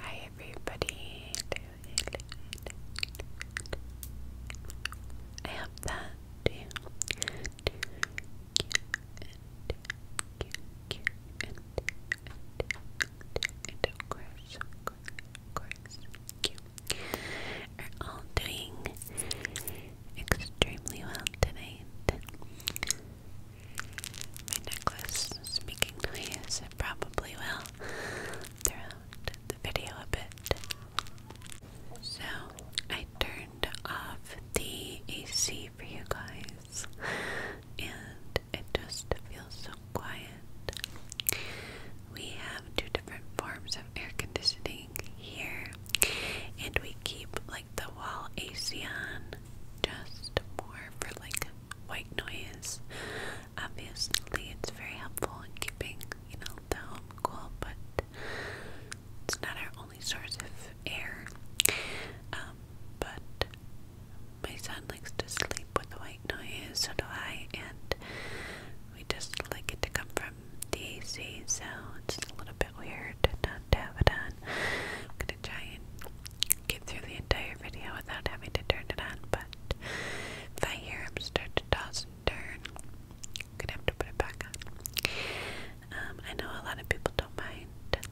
Hi everybody. I hope that you and of course, of course, of course, you are all doing extremely well tonight. My necklace is making noise. It probably will throughout the video a bit. So, I turned off the AC for you guys, and it just feels so quiet. We have two different forms of air conditioning here, and we keep like the wall AC on just more for like white noise. Obviously, it's very helpful in keeping, you know, the home cool, but it's not our only source of air. Um, but my son likes to sleep with white noise, so do I, and we just like it to come from DC. AC, so it's a little bit weird not to have it on. gonna try and get through the entire video without having to turn it on, but if I hear him start to toss and turn, I'm gonna have to put it back on. Um, I know a lot of people don't mind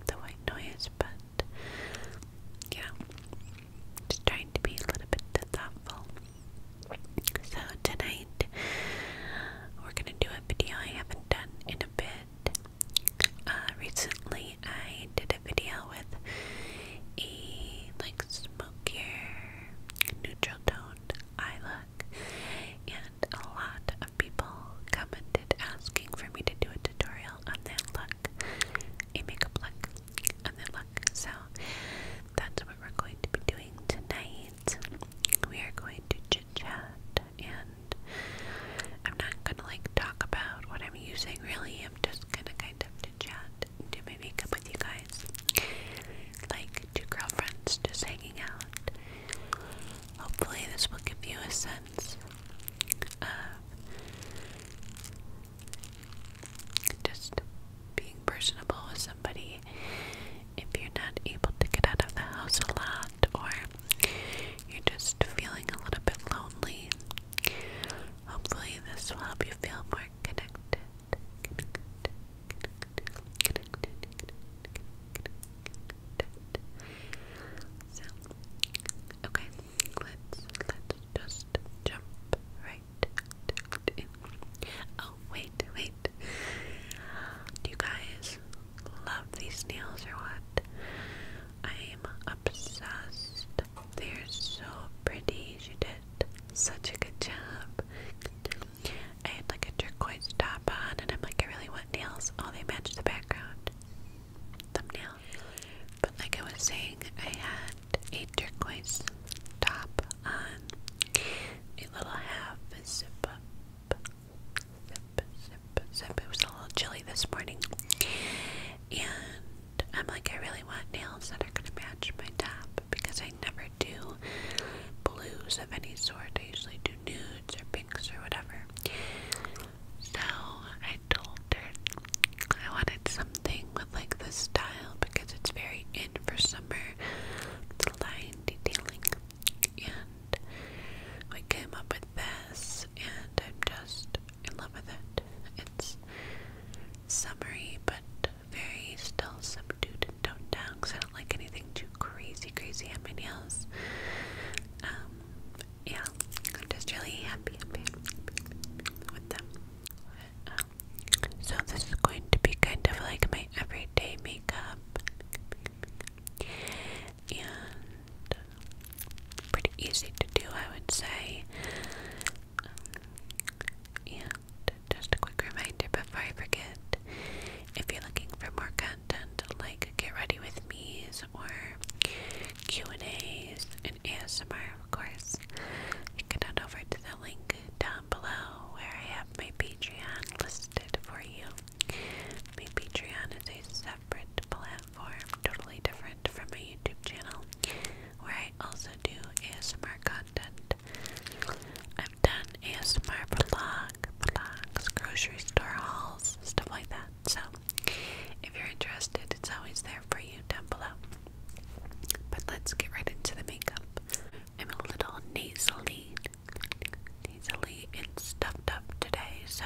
the white noise, but you just trying to be a little bit thoughtful. So tonight we're gonna do a video I haven't done in a bit. Uh, recently, I did a video with a like smokier, neutral toned eye look, and a lot of people commented asking for me to do a tutorial on that look, a makeup look, on that look. So that's what we're going to be doing tonight. We are going to chit chat and. I'm not gonna like talk about what I'm using really i am just gonna kind of chat and do my makeup with you guys. Like two girlfriends just hanging out. Hopefully this will give you a sense of just being personable with somebody if you're not able to get out of the house a lot or you're just feeling a little bit lonely Hopefully, this will help you feel more connected. okay, let's let's just jump right in. Oh wait, wait. Do you guys love these nails or what? I am obsessed they're so pretty. You did such a good job. I had like a turquoise top on, and I'm like, I really want nails. Oh, they match the background. Thumbnail. But like I was saying, I had a turquoise top on. A little half zip up. Zip, zip, zip. It was a little chilly this morning. And I'm like, I really want nails that are gonna match my top because I never do blues of any sort. I usually do nudes or pinks or whatever. So I told her I wanted something with like the style because it's very in for summer. The line detailing and we came up with this and I'm just in love with it. It's summery but very still subdued toned down I don't like anything too crazy, crazy on my nails. Um, yeah, I'm just really happy, happy, with them. so this is going to be kind of like my everyday makeup. And pretty easy to do, I would say. Um, and just a quick reminder before I forget if you're looking for more content like get ready with me's or Q&A's and ASMR of course, you can head over to the link down below where I have my Patreon listed for you. My Patreon is a separate platform platform, totally different from my YouTube channel, where I also do ASMR content. I've done ASMR vlog, vlogs, grocery store hauls, stuff like that. So, if you're interested, it's always there for you down below. But let's get right into the makeup. I'm a little nasally, nasally and stuffed up today, so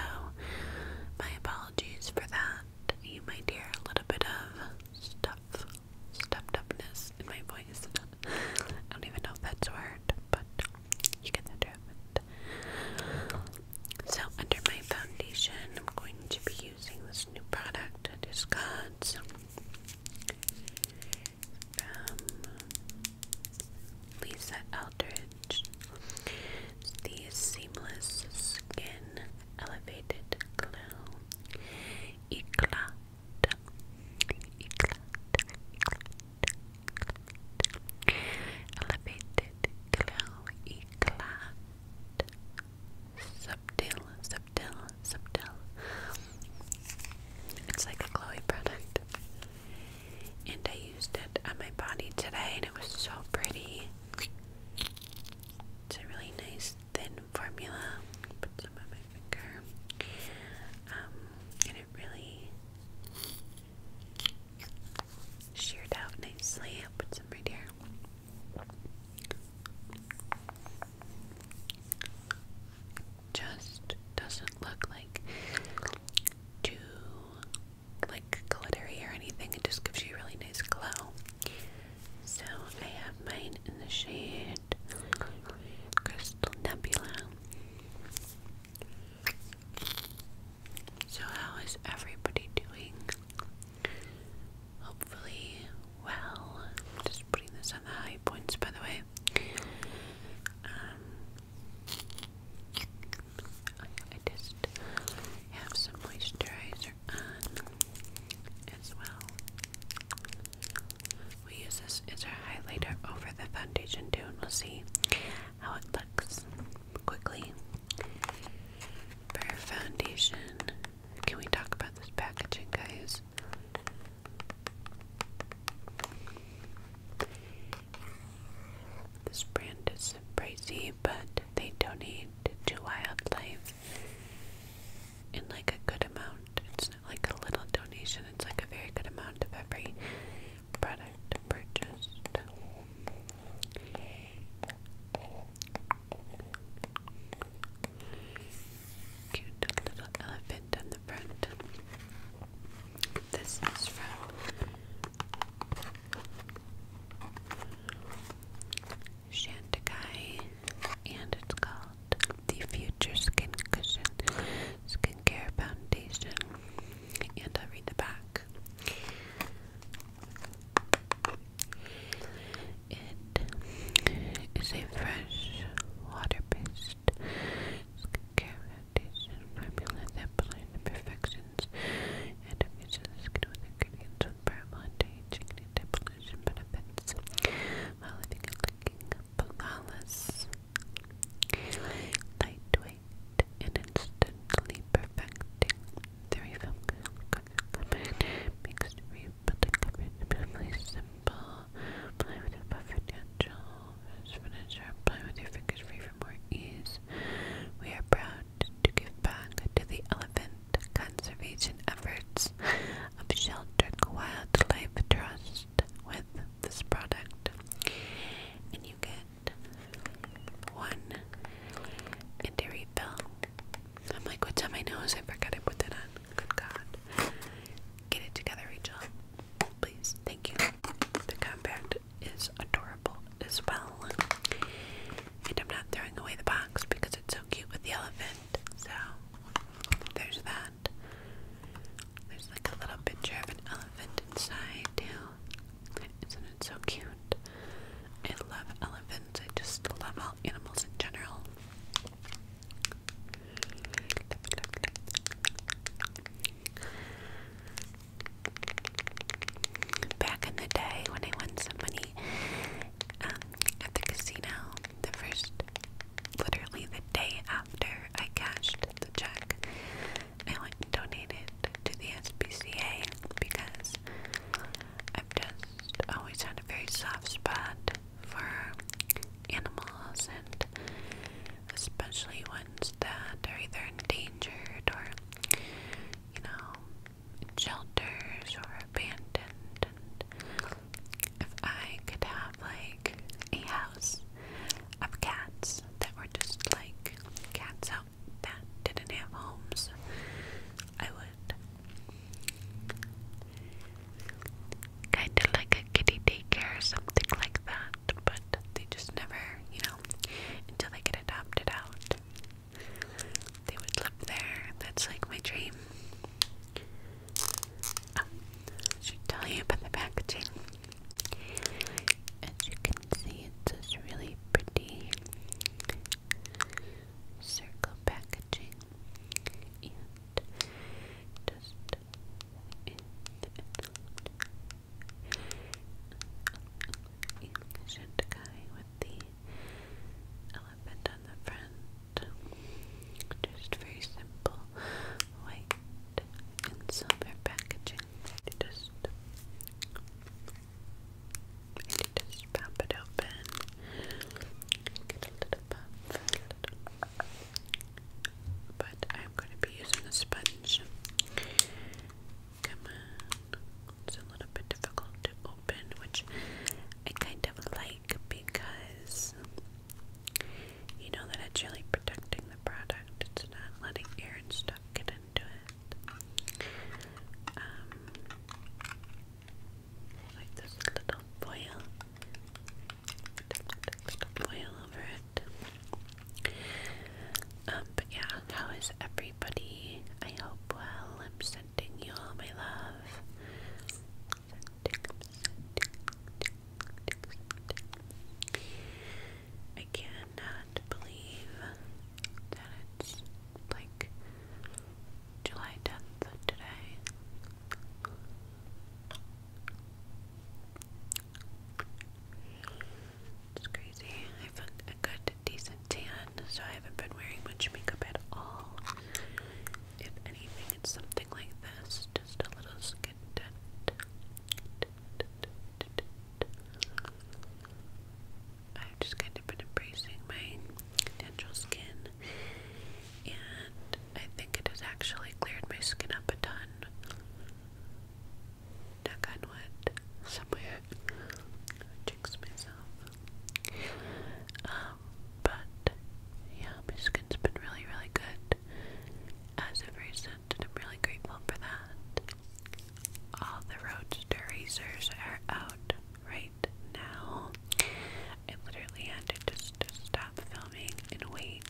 my apologies for that you might hear a little bit of stuff, stuffed upness in my voice. I don't even know if that's word, but you get the drift. So, under my foundation, I'm going to be using this new product that is God's from um, Lisa Eldridge. It's Seamless Skin elevated glow. Eclat. Eclat. Eclat. Elevated glow. Eclat. Subtle. Subtle. Subtle. It's like a Chloe product. And I used it on my body today and it was so pretty. It's a really nice thin formula. Put some on my finger. Um, and it really sheared out nicely. put some right here. Just doesn't look like too like glittery or anything. It just gives you really nice glow. So I have mine in the shade Crystal Nebula. So, how is everybody doing? Hopefully, well. just putting this on the high points, by the way. Um, I just have some moisturizer as well. We use this as our highlighter over the foundation too, and we'll see how it looks quickly. For foundation, can we talk about this packaging, guys? This brand is pricey, but they donate to wildlife in like a good amount. It's not like a little donation, it's like a very good amount of every product purchased. Cute little elephant on the front. This is from Shantikai, and it's called the Future Skin Cushion Skincare Foundation. And i read the back. It is a fresh, water based skincare foundation formula that blends imperfections and infuses the skin ingredients with purple and aging anti-pollution benefits while living and flawless. Lightweight and instantly perfecting the refill makes rebuilding coverage really simple. Apply with a buffer natural furniture. Apply with your fingers free for more ease. We are proud to give back to the elephant conservation efforts of Sheltered Wildlife Trust with this product. And you get one and a I'm like, what's on my nose? I forgot I put that on. Good God. Get it together, Rachel. Please. Thank you. The compact is adorable as well. And I'm not throwing away the box because it's so cute with the elephant. So there's that. There's like a little picture of an elephant inside too. Isn't it so cute? I love elephants. I just love all animals in general. Back in the day when I won some money, um, at the casino the first, literally the day after I cashed the check. I went and donated to the SPCA because I've just always had a very soft spot for animals and especially ones that are either endangered or, you know, shelters or abandoned. And if I could have like a house of cats that were just like cats out that didn't have homes, I would. Kind of like a kitty daycare or something like that, but they just never, you know, until they get adopted out they would live there. That's like my dream. Oh, should tell you about the packaging. As you can see, it's this really pretty circle packaging. And just in the end, with the elephant on the front just very simple white and silver packaging. just, just pop it open. Get a little puff. But I'm going to be using a sponge. It's a little bit difficult to open, which I kind of like because you know that it's really protecting the product. It's not letting air and stuff get into it. Um, like this little foil, foil over it. Um, but yeah, how is everybody? I hope well. I'm sending you all my love. I cannot believe that it's like July 10th today. It's crazy. I've a good decent tan, so I haven't been wearing much makeup at all. If anything, it's something like this, just a little skin I've just kind of been embracing my natural skin, and I think it has actually cleared my skin up a ton. Knock on wood, somewhere. jinx myself. Um, but yeah, my skin's been really, really good as of recent, and I'm really grateful for that. All the Roadster are out right now. I literally had to stop filming and wait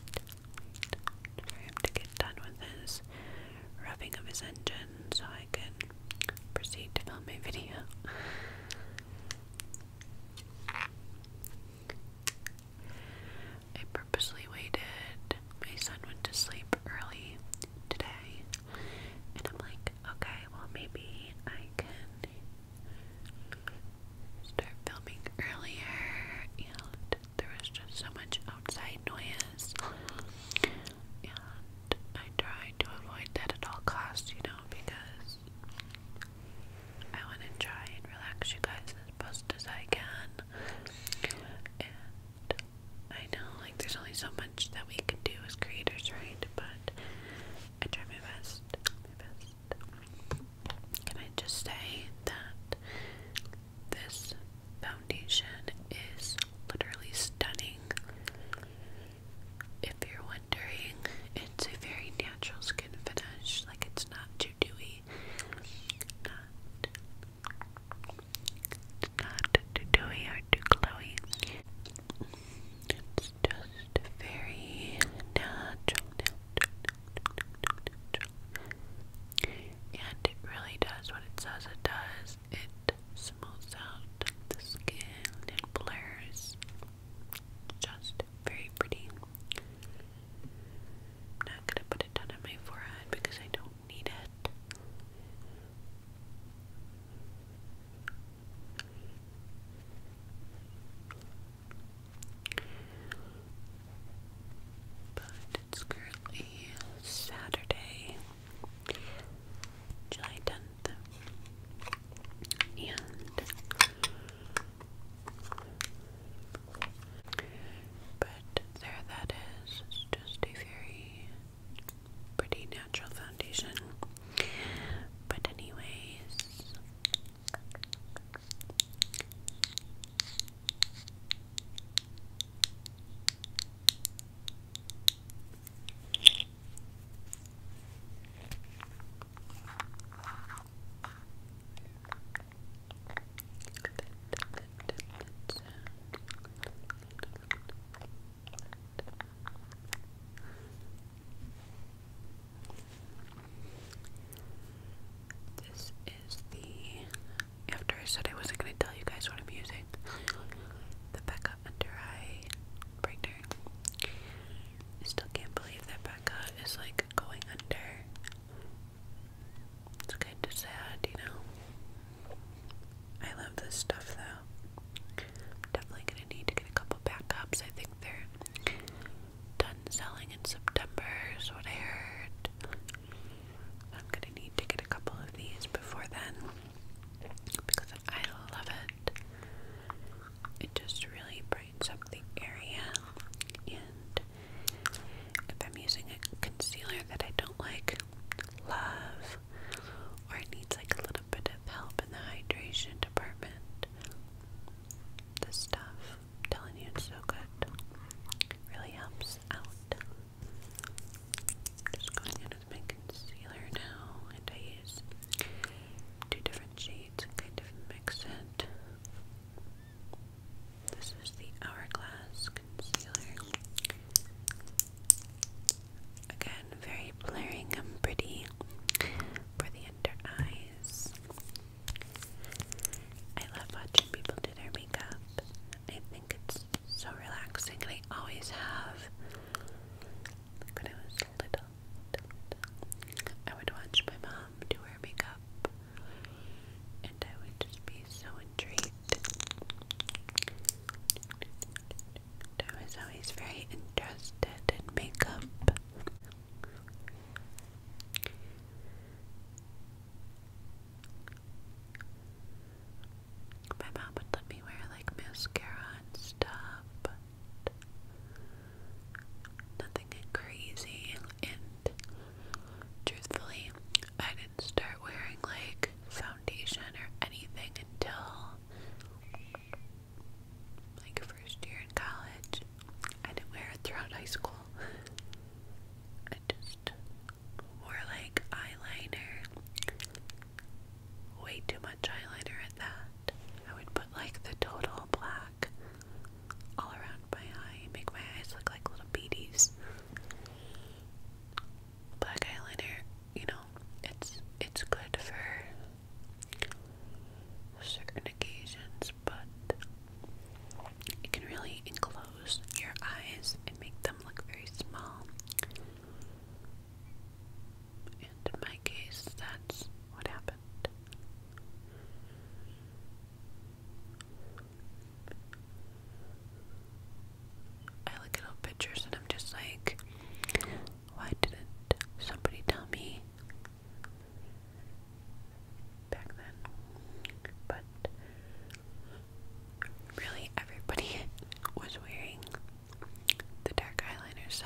for him to get done with his revving of his engine so I can proceed to film my video. I purposely waited. My son went to sleep early today, and I'm like, okay, well, maybe I can start filming earlier. And there was just so much outside noise, and I tried to avoid that at all costs, you know, because I want to try and relax you guys as best as I can. And I know, like, there's only so much that we can do as creators, right? But I try my best. My best. Can I just say that this foundation is literally stunning? if you're wondering, it's a very natural skin finish. Like it's not too dewy, not too dewy or too glowy. It's just very natural, and it really does what it says it does. It smooths out the skin and blurs just very pretty. not gonna put it on my forehead because I don't need it. But it's currently Saturday, July 10th, and but there that is. It's just a very pretty natural foundation. But anyways this is the after I said I wasn't gonna tell you guys what I'm using. The Becca under eye brightener. I still can't believe that Becca is like going under. It's kind of sad, you know. I love this stuff though. I'm definitely gonna need to get a couple backups. I think they're done selling in September, is what I heard. I'm gonna need to get a couple of these before then because I love it it just really brightens up the area. And if I'm using a concealer that I don't like, love, or it needs like a little bit of help in the hydration department, this stuff, telling you, it's so good. Really helps out. just going in with my concealer now, and I use two different shades kind of mix in this is the Hourglass Concealer. Again, very blaring and pretty for the under eyes. I love watching people do their makeup. I think it's so relaxing, I always have. when I was little, I would watch my mom um, to her makeup. And I would just be so intrigued. I was always very interested in makeup. My mom would let me wear like mascara and stuff, nothing crazy, and truthfully, I didn't start wearing like foundation or anything until like first year in college. I didn't wear it throughout high school. I just wore like eyeliner. Way too much eyeliner at that. I would like the total black all around my eye, make my eyes look like little beaties. Black eyeliner, you know, it's it's good for certain occasions, but it can really enclose your eyes and make them look very small. And in my case, that's what happened. I look at old pictures and I'm just like, why didn't somebody tell me back then? But really, everybody was wearing the dark eyeliner, so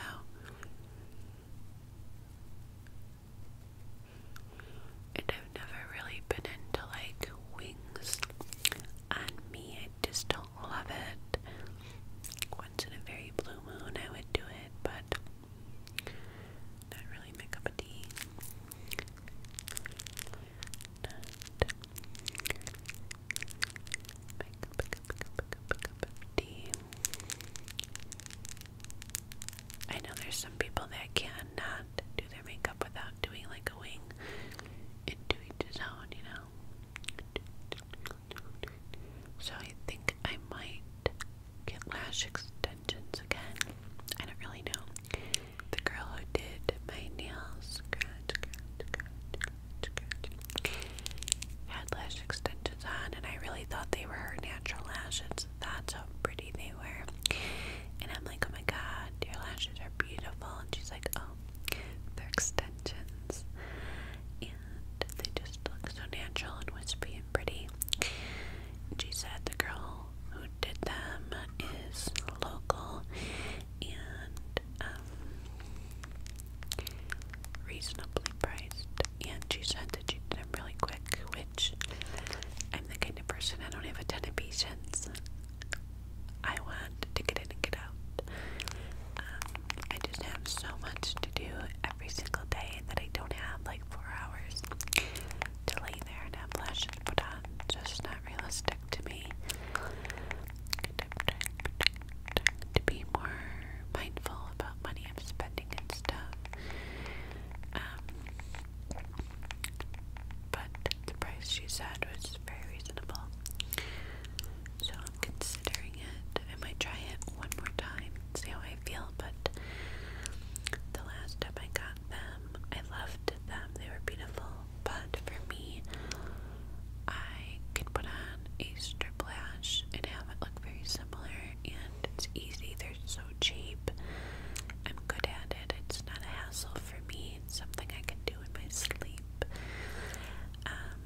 and I've never really been into like wings. On me, I just don't love it. Once in a very blue moon, I would do it, but not really my cup of tea. Not my cup, cup, cup, tea. I know there's some people that cannot do their makeup without doing like a wing and into each zone, you know. So I think I might get lash extensions again. I don't really know. The girl who did my nails had lash extensions on, and I really thought they were her natural lashes, that's how pretty they were. And I'm like, oh my god, your lashes are beautiful. And she's like, oh, they're extensions. And they just look so natural and wispy and pretty. And she said the girl who did them is local and um, reasonably priced. And she said that she did really quick, which I'm the kind of person I don't have a ton of patience. I want to get in and get out. Um, I just have so much to do every single day that I don't have like four hours to lay there and have lashes put on. Just not realistic to me. to be more mindful about money I'm spending and stuff. Um, but the price she said was very reasonable. So I'm considering it. I might try it one more time, see how I feel, but the last time I got them, I loved them. They were beautiful. But for me, I can put on a strip lash and have it look very similar and it's easy so cheap. I'm good at it. It's not a hassle for me. It's something I can do in my sleep. Um,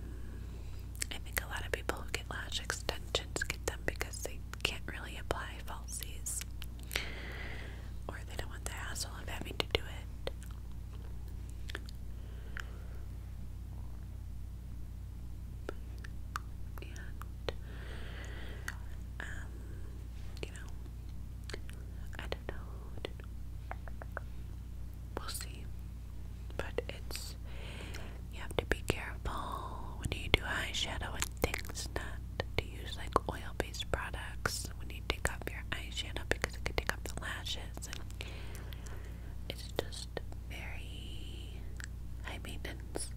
I think a lot of people who get lash extensions get them because they can't really apply falsies, or they don't want the hassle of having to do it and um, you know, I don't know, We'll see. But it's you have to be careful when you do eyeshadow and things not to use like oil-based products when you take off your eyeshadow because it could take off the lashes it's just very high maintenance.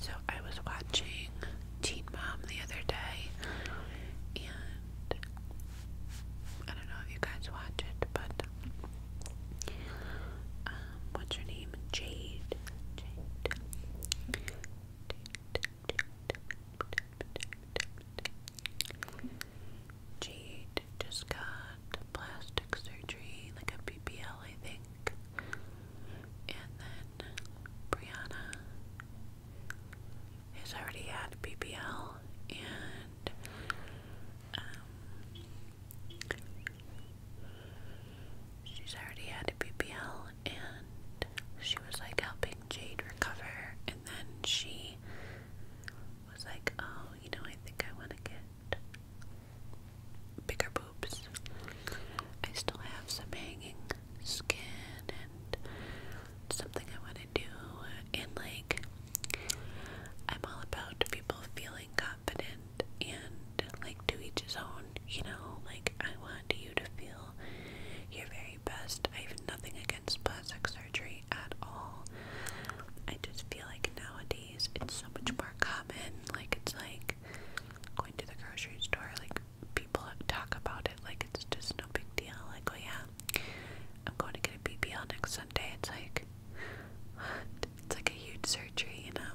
So I was watching Teen Mom the other day and I don't know if you guys watch it, but um, what's her name? Jade. Jade. just got plastic surgery, like a BBL, I think. And then Brianna has already had BBL and um, she's already had a BBL and she was like helping Jade recover and then she was like, oh, you know, I think I want to get bigger boobs. I still have some hanging skin and something I want want to do. And like, I'm all about people feeling confident and like to each his own, you know? Like, I want you to feel your very best. I have nothing against plastic surgery at all. I just feel like nowadays it's so much more common. Like, it's like going to the grocery store, like, people talk about it like it's just no big deal. Like, oh yeah, I'm going to get a BBL next Sunday. It's like, It's like a huge surgery, you know?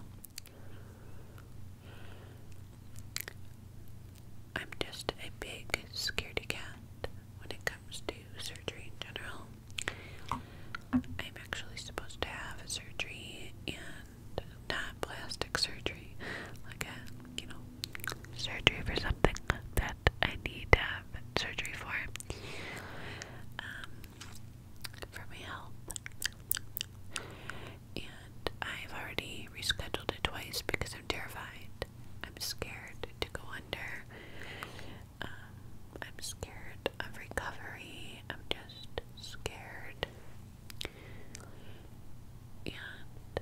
I'm just a big scaredy cat when it comes to surgery in general. I'm actually supposed to have a surgery and not plastic surgery, like a, you know, surgery for something that I need to have surgery for for my health. And I've already rescheduled it twice because I'm terrified. I'm scared to go under. Um, I'm scared of recovery. I'm just scared. And,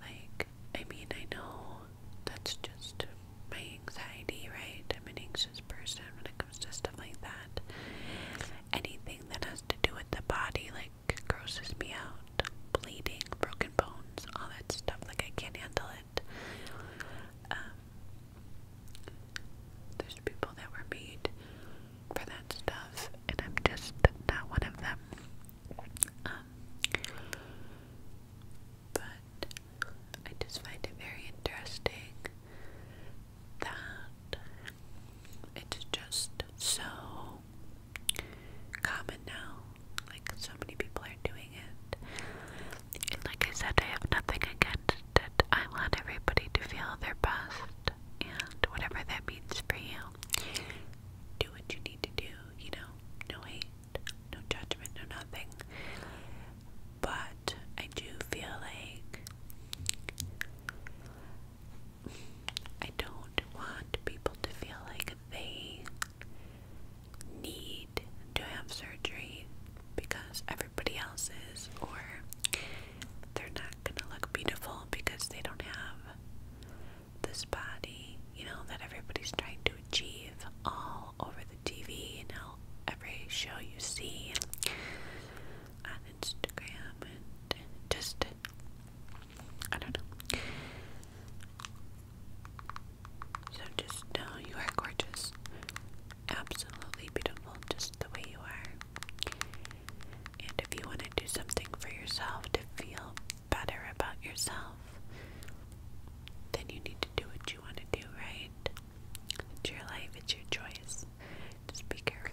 like, I mean, I know that's just my anxiety, right? I'm an anxious person when it comes to stuff like that. Anything that has to do with the body, like, grosses me out. Bleeding, broken bones, all that stuff. Like, I can't handle it. Um, there's people that were made for that stuff, and I'm just not one of them. Um, but I just find it very interesting that it's just so common now. Like, so many people are doing it. like I said, I have nothing against it. I want everybody to feel their best, and whatever that means for you, do what you need to do, you know? No hate, no judgment, no nothing. But I do feel like I don't want people to feel like they need to have surgery because everybody else is, or they're not gonna look beautiful because they don't have this body, you know, that everybody's trying to achieve all over the. TV and how every show you see on Instagram and just I don't know. So just know you are gorgeous. Absolutely beautiful just the way you are. And if you want to do something for yourself to feel better about yourself, then you need to do what you want to do, right? It's your life, it's your choice. Just be careful.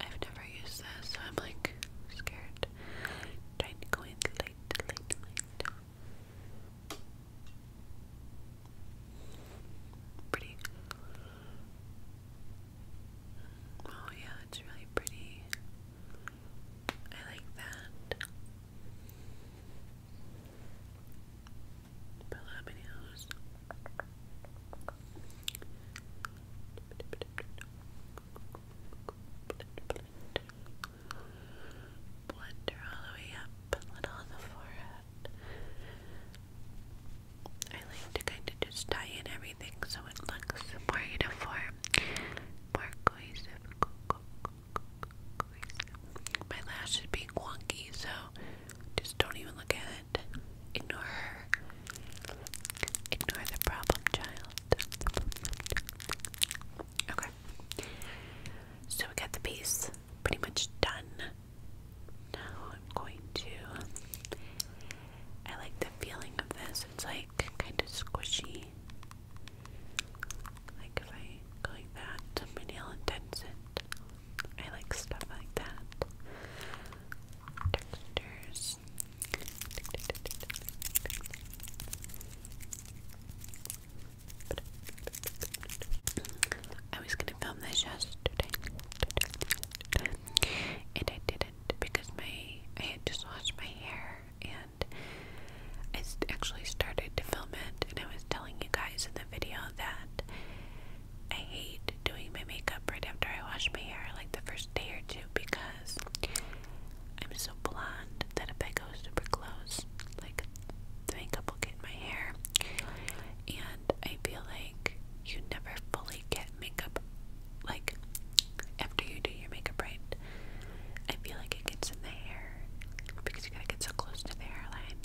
i have never used this, I'm like scared. Pretty Oh, yeah, it's really pretty. I like that. Palaminos. Blender all the way up, a little on the forehead. I like to kind of just tie in everything so it looks more uniform, more cohesive. My lash is being wonky, so just don't even look at it. Ignore her. Ignore the problem child. Okay. So we got the piece pretty much done. Now I'm going to I like the feeling of this. It's like kind of squishy. Like if I go like that, my nail indents it. I like stuff like that. Textures. I was gonna film this yesterday, and I did because my I had just washed my hair and I actually started to film it and I was telling you guys in the video that I hate doing my makeup right after I wash my hair like the first day or two because I'm so blonde that if I go super close like the makeup will get in my hair and I feel like you never fully get makeup, like after you do your makeup right, I feel like it gets in the hair because you gotta get so close to the hairline,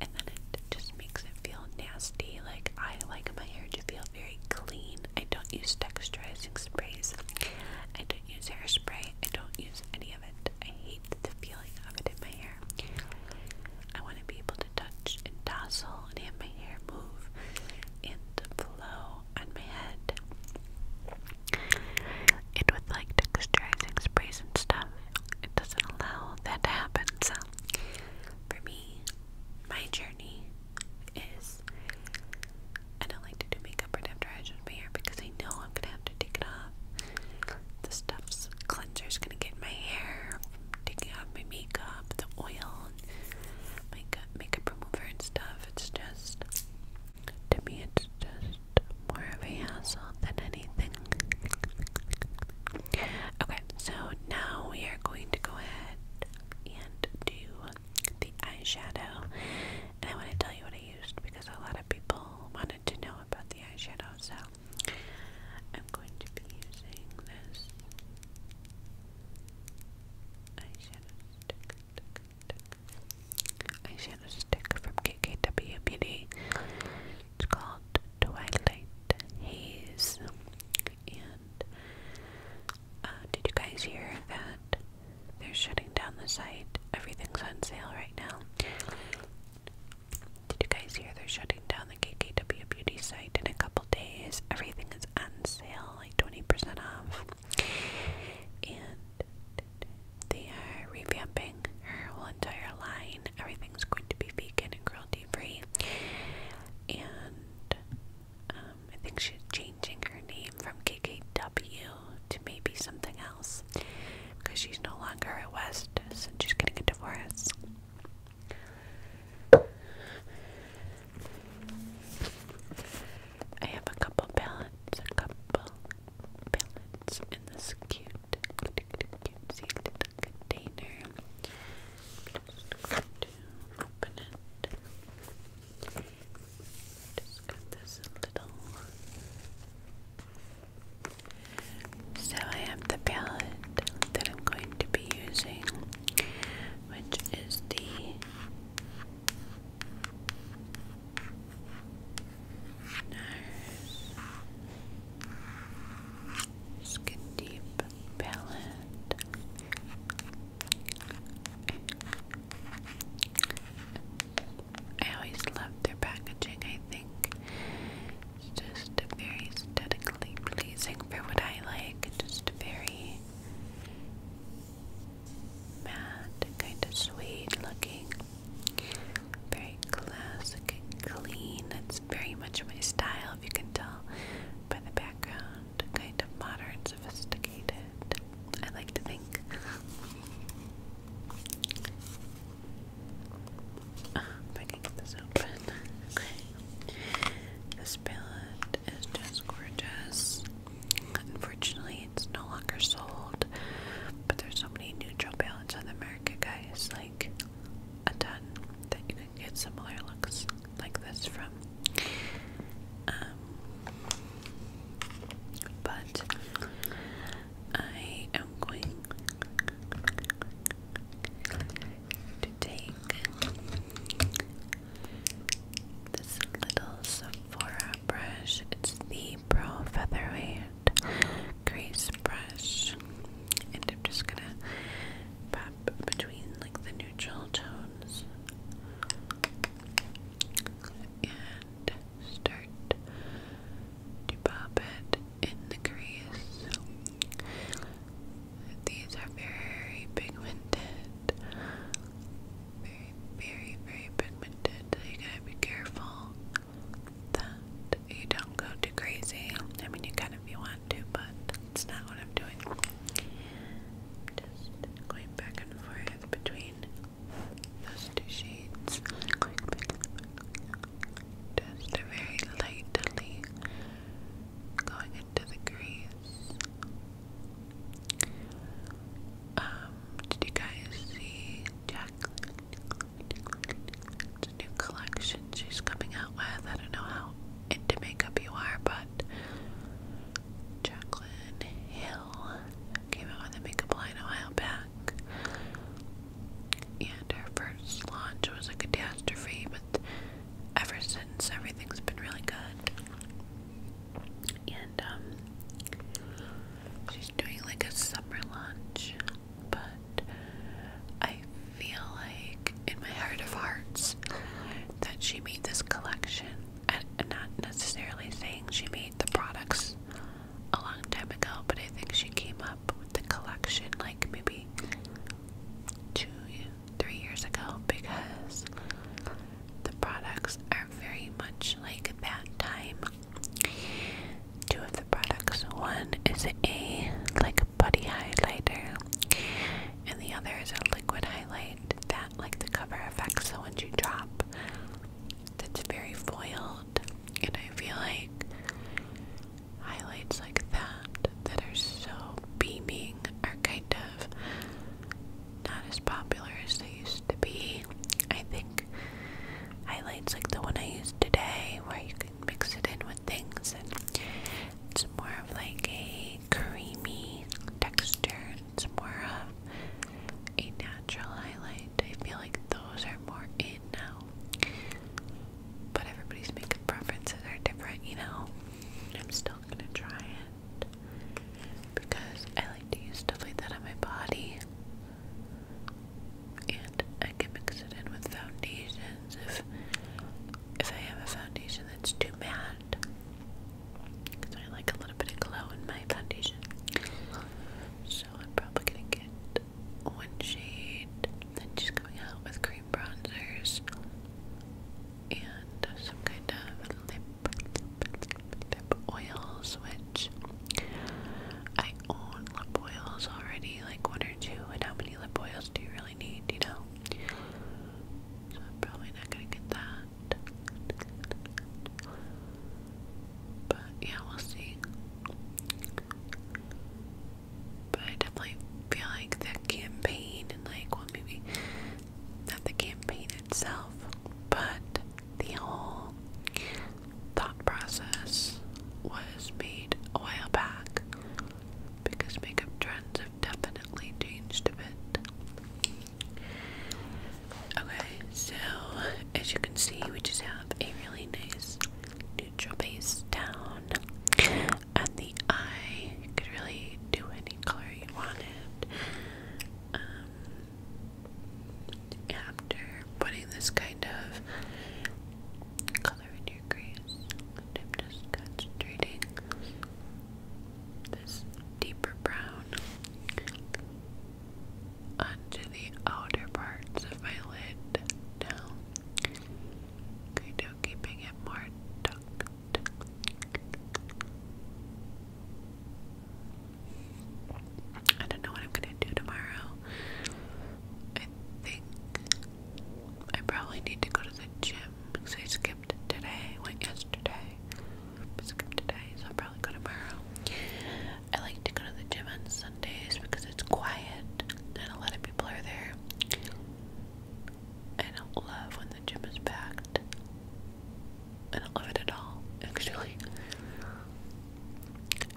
and then it just makes it feel nasty. Like I like my hair to feel very clean. I don't use texturizing sprays. I don't use hairspray. I don't use any of it. I hate the feeling of it in my hair. I want to be able to touch and tousle and have my hair move and flow on my head. And with like texturizing sprays and stuff, it doesn't allow that to happen. So, for me, my journey is I don't like to do makeup or after my hair because I know I'm gonna have to take it off. The stuff's is gonna get my hair, taking off my makeup, the oil makeup makeup remover and stuff. It's just to me it's just more of a hassle than anything. Okay, so now we are going to go ahead and do the eyeshadow. And I want to tell you what I used because a lot of people wanted to know about the eyeshadow, so I'm going to be using this eyeshadow stick, from KKW Beauty. It's called Twilight Haze. And uh, did you guys hear that they're shutting down the site? Everything's on sale right now. Did you guys hear they're shutting down the KKW Beauty site in a couple days? Everything is on sale like 20% off. And they are revamping her whole entire line. Everything's going to be vegan and cruelty free. And um, I think she's changing her name from KKW to maybe something else because she's no longer at West so she's getting a divorce. I have a couple palettes, a couple palettes in this cute, cute, cute, cute container. just open it. Just got this little. So I have the palette that I'm going to be using which is the nurse skin deep palette. I always love their packaging, I think. It's just a very aesthetic aesthetically pleasing for what I like. Just very matte, kind of sweet looking. Very classic clean. That's very much my style, if you can tell by the background. Kind of modern, sophisticated. I like to think. Ah, I can get this open. This palette is just gorgeous. Unfortunately, it's no longer sold, but there's so many neutral palettes on the market, guys. Like a ton that you can get similar looks like this from. Um, but I am going to take this little Sephora brush. It's the Pro Featherweight Grease Brush. And I'm just gonna pop between like the neutral tones and start to pop it in the grease. These are very pigmented. Very, very, very pigmented. So you gotta be careful that you don't go too crazy. I mean, you kind of you want to, but it's not what I'm doing. just going back and forth between those two shades. Just very lightly going into the grease. Um, did you guys see Jacqueline? new collection she's coming out with. I don't know how into makeup you are, but Jacqueline Hill came out with a makeup line a while back. And her first launch was a catastrophe, but ever since everything's been really good and um, she's doing like a summer lunch, but I feel like in my heart of hearts that she made this collection. and not necessarily saying she made the products a long time ago, but I think she came up with the collection like maybe two three years ago because the products are very much like that time. Two of the products one is a like body highlighter, and the other is a liquid highlight that, like the cover effects the ones you drop, that's very foiled. And I feel like highlights like that that are so beaming are kind of not as popular as they used to be. I think highlights like the one I used today, where you can mix it in with things, and it's more of like a creamy texture. It's more of a natural highlight. I feel like those are more in now. But everybody's makeup preferences are different, you know. I'm still gonna try it because I like to use stuff like that on my body. And I can mix it in with foundations if if I have a foundation that's too matte. Because I like a little bit of glow in my foundation. So I'm probably gonna get one shade. Then just going out with cream bronzers and some kind of lip lip oils, which I own lip oils already, like one or two, and how many lip oils do you really need, you know? So I'm probably not gonna get that. But yeah, we'll see. But I definitely feel like the campaign and like well maybe not the campaign itself, but the whole thought process was made a while back because makeup trends have definitely changed a bit. Okay, so as you can see, we just have a really nice neutral base down, and the eye could really do any color you wanted. Um, after putting this kind of color in your crease, I'm just concentrating this deeper brown onto the outer parts of my lid now, kind of keeping it more tucked I don't know what I'm gonna do tomorrow. I think I probably need to go to the gym because I skipped today. Went yesterday. I skipped today, so I'll probably go tomorrow. I like to go to the gym on Sundays because it's quiet and a lot of people are there. I don't love when the gym is packed. I don't love it at all, actually.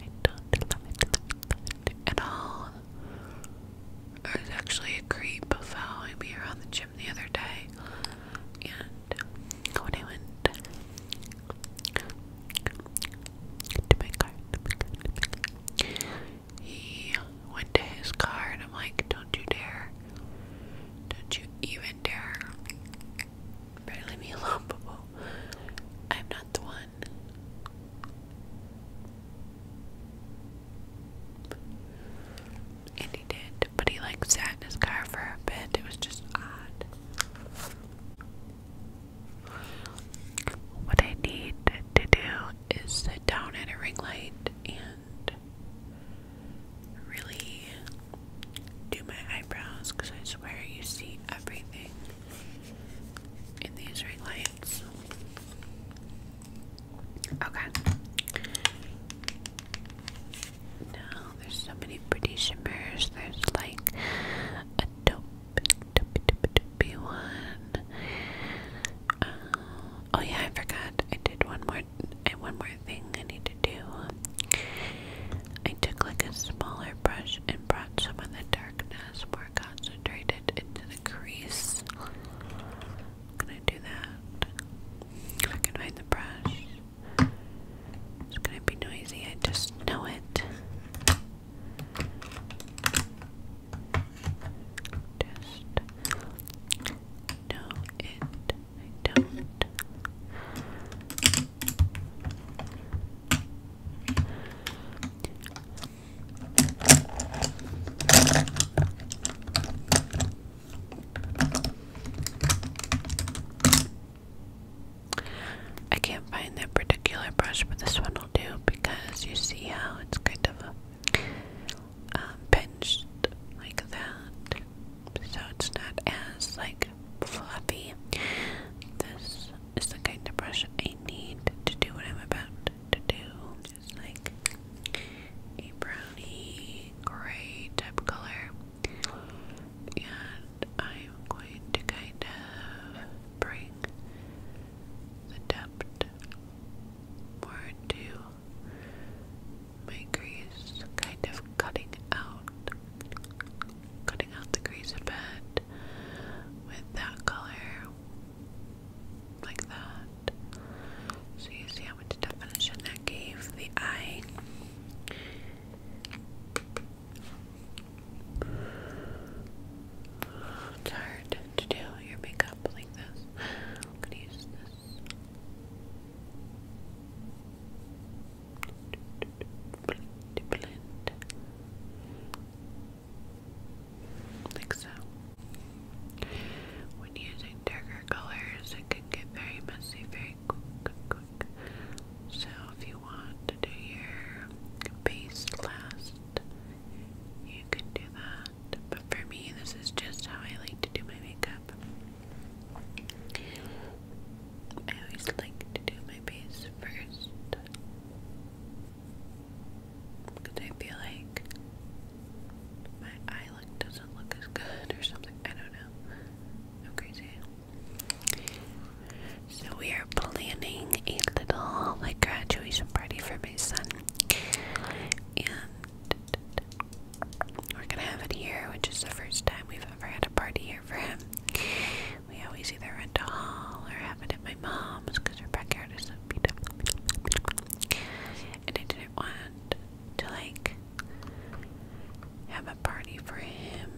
I don't love it, at all. There was actually a creep following me around the gym the other day, and when I went to my car, he went to his car, and I'm like, don't you dare don't you even dare. Better leave me alone, Bobo. I'm not the one. And he did, but he like sat in his car for a bit. It was just odd. What I need to do is sit down at a ring light and really do my eyebrows because I swear you see everything in these ring lights. Okay. Now there's so many pretty shimmers. There's like a dope, dope, dope, dope one. Um, oh yeah, I forgot. I did one more and one more thing I need to do. I took like a smaller brush and brought some of the darkness more concentrated into the crease. i do that. If I find the brush. It's gonna be noisy, I just know it. Just know it. I don't. I can't find that particular brush, but this one will do because you see how it's kind of a um, pinched like that so it's not as like fluffy. This is the kind of brush I need to do what I'm about to do. Just like a brownie gray type color. And I'm going to kind of bring the depth more to my grease, kind of cutting out, cutting out the grease a bit with that color, like that. So you see how much definition that gave the eye. It's hard to do your makeup like this. I'm use this. Like so. When using darker colors, it can get very messy very quick, So if you want to do your base last, you can do that. But for me, this is just how I like to do my makeup. I always like to do my base first because I feel like my eye look doesn't look as good or something. I don't know. I'm crazy. So we are planning a little like graduation party for my son, and we're gonna have it here, which is the first time we've ever had a party here for him. We always either rent to hall or have it at my mom's because her backyard is so beat And I didn't want to like have a party for him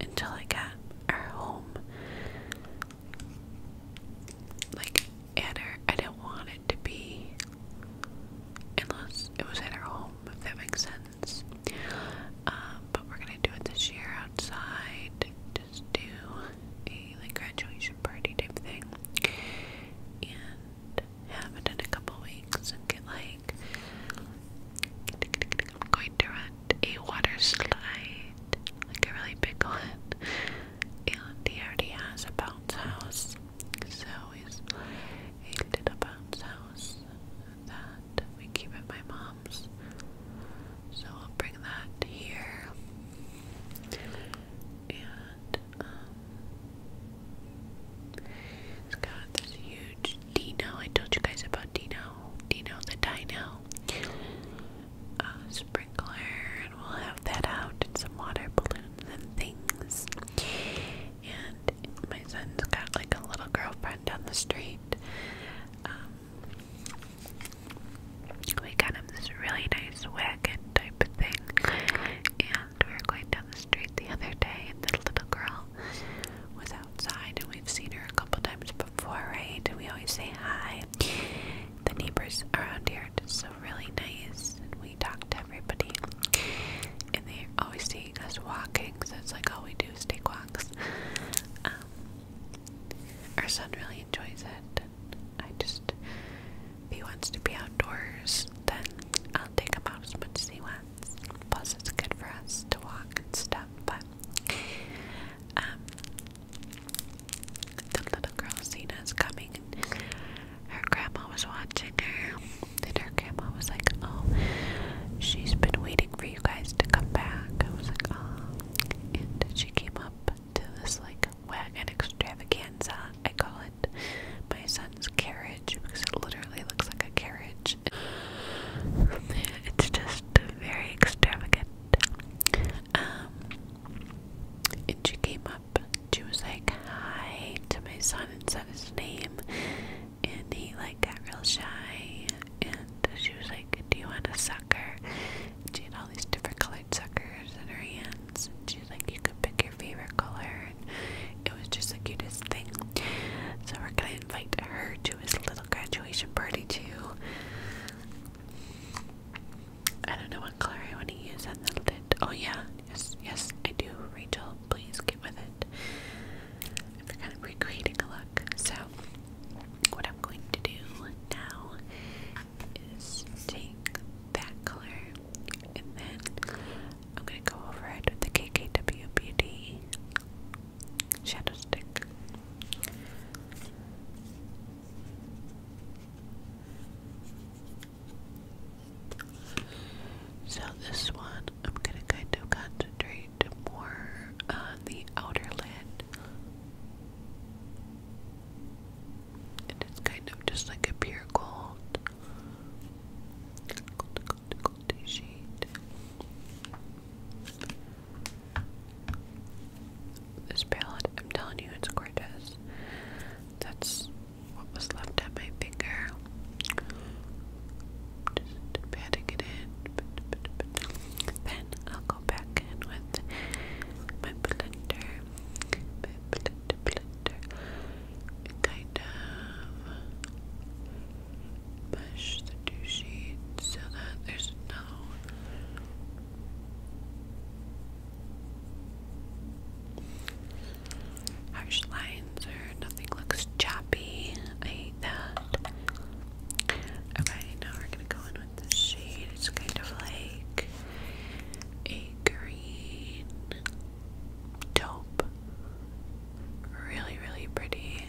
until I got our home. Like at I didn't want it to be unless it was at her home. If that makes sense. Um, but we're gonna do it this year outside. Just do a like graduation party type thing, and have it in a couple weeks get like I'm going to run a water slide, like a really big one. And he already has a bounce house, so it's a little bounce house that we keep at my mom's. So I'll bring that here. And um, it's got this huge Dino. I told you guys about Dino. Dino the Dino. sprinkler and we'll have that out and some water balloons and things and my son's got like a little girlfriend down the street. Um, we got him this really nice wagon type of thing, and we were going down the street the other day, and the little girl was outside, and we've seen her a couple times before, right? And we always say hi. The neighbors around here are just so really nice, and we talk to everybody, and they are always seeing us walking because that's like all oh, we do is take walks. Um, our son really enjoys it. I just, if he wants to be outdoors, then I'll take him out as much as he wants. Plus, it's good for us to walk and stuff. But um, the little girl Sina's coming, and her grandma was watching her, and her grandma was like, Oh, she's been waiting for you guys to come back. I was like, Oh. And she came up to this, like, wagon extravaganza, I call it my son's carriage because it literally looks like a carriage. It's just very extravagant. Um, and she came up, she was like, Hi to my son and said his name and he like got real shy and she was like, Do you want a sucker? she had all these different colored suckers in her hands She she's like, You could pick your favorite color it was just the cutest thing. So we're gonna invite her to his little graduation party too. I don't know what color I want to use on the lid. Oh yeah, yes, yes, I do. Rachel, please get with it for kind of recreating a look. So, what I'm going to do now is take that color and then I'm going to go over it with the KKW Beauty shadow stick. So, this one I'm going to kind of concentrate more on uh, the outer lid. And it's kind of just like a pure gold. Gold, gold, gold shade. This palette, I'm telling you, it's gorgeous. That's what was left on my finger patting it in. Then I'll go back in with my blender. Kind of push the two sheets so that there's no. Harsh lines nothing looks choppy. I hate that. Okay, now we're gonna go in with this shade. It's kind of like a green taupe. Really, really pretty.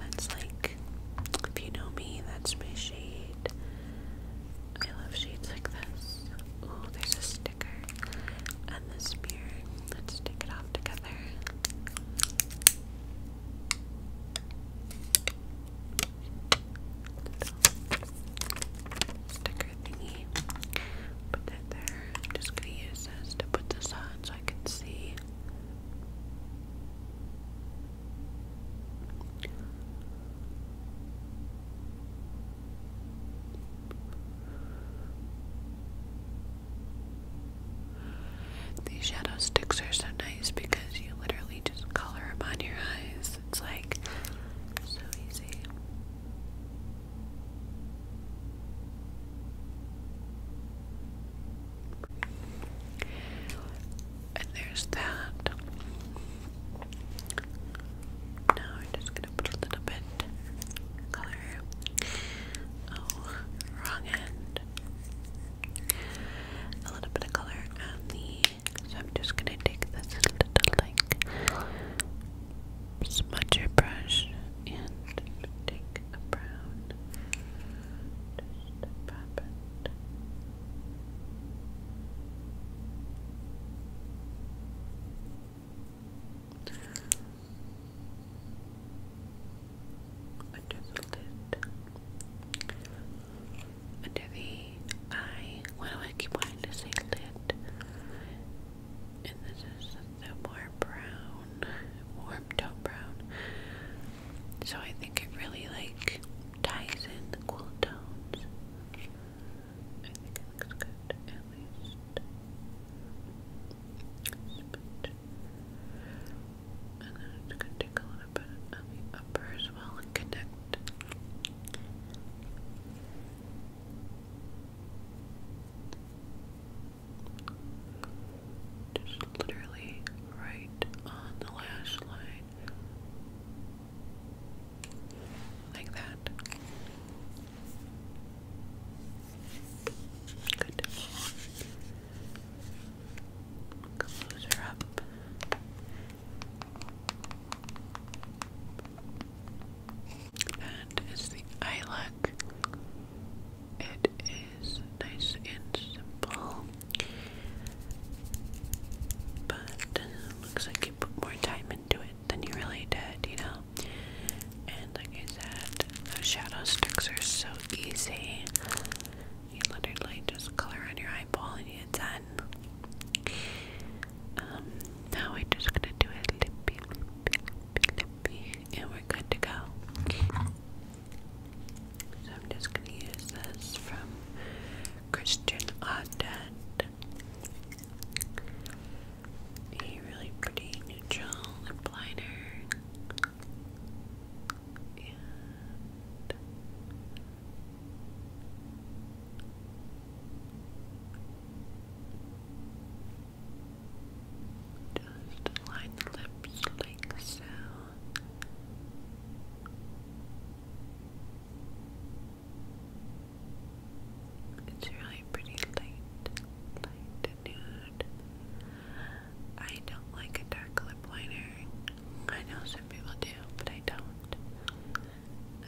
That's like, if you know me, that's my shade. I love shades like this. Ooh, there's a sticker and the spear. Let's take it off together. Sticker thingy. Put that there. I'm just gonna use this to put this on so I can see. These shadow sticks are so nice because you literally just color them on your eyes. It's like so easy. And there's that. Now I'm just gonna put a little bit Oh, wrong end. A little bit of color on the. So I'm just gonna take this little like smudger brush and take a brown. Just pop it under the lid, under the eye. Why do I keep wanting to say lid? And this is the more brown, warm tone brown. So I think it really like ties in the cool tones. I think it looks good, at least. Spit. And then it's gonna take a little bit on the upper as well and connect. Just literally right on the lash line. Like that. Good. And her the eye look. It is nice and simple, but uh, looks like you put more time into it than you really did, you know? And like I said, those shadow sticks are so easy. You literally just color on your eyeball and you're done. Um, now we're just gonna do a lippy, lippy, lippy, and we're good to go. So I'm just gonna use this from Christian Audet. A really pretty neutral lip liner and just line the lips like so. It's really pretty light, light nude. I don't like a dark lip liner. I know some people do, but I don't.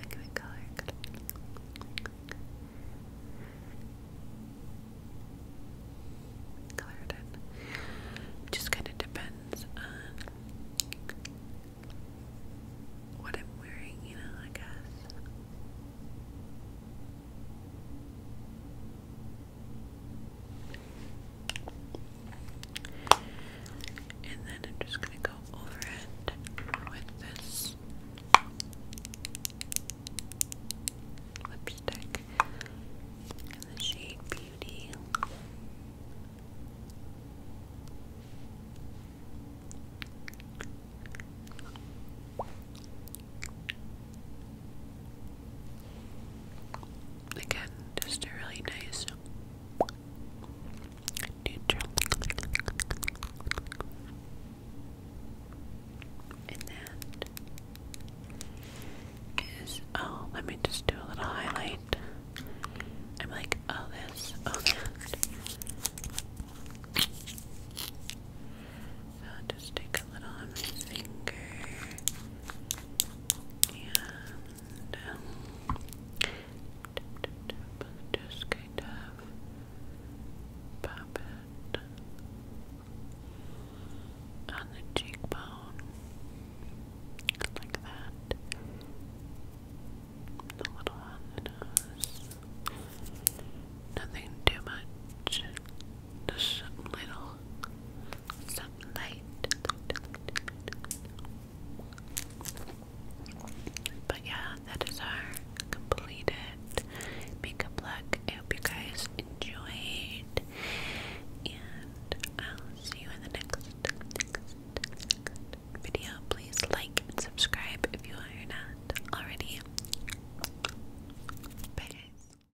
I can color. Color it Just kind of depends on what I'm wearing, you know, I guess. And then I'm just going to go over it with this lipstick in the shade Beauty. Again, just a really nice neutral. And that is oh, let me just do a little highlight. I'm like, oh this, oh that just take a little on my finger and um, just kind of pop it on the cheekbone like that. A little on the nose. Nothing too much. Just a little some light. But yeah, that is our completed makeup look. I hope you guys enjoyed, and I'll see you in the next, video. Please like and subscribe if you are not already. Bye,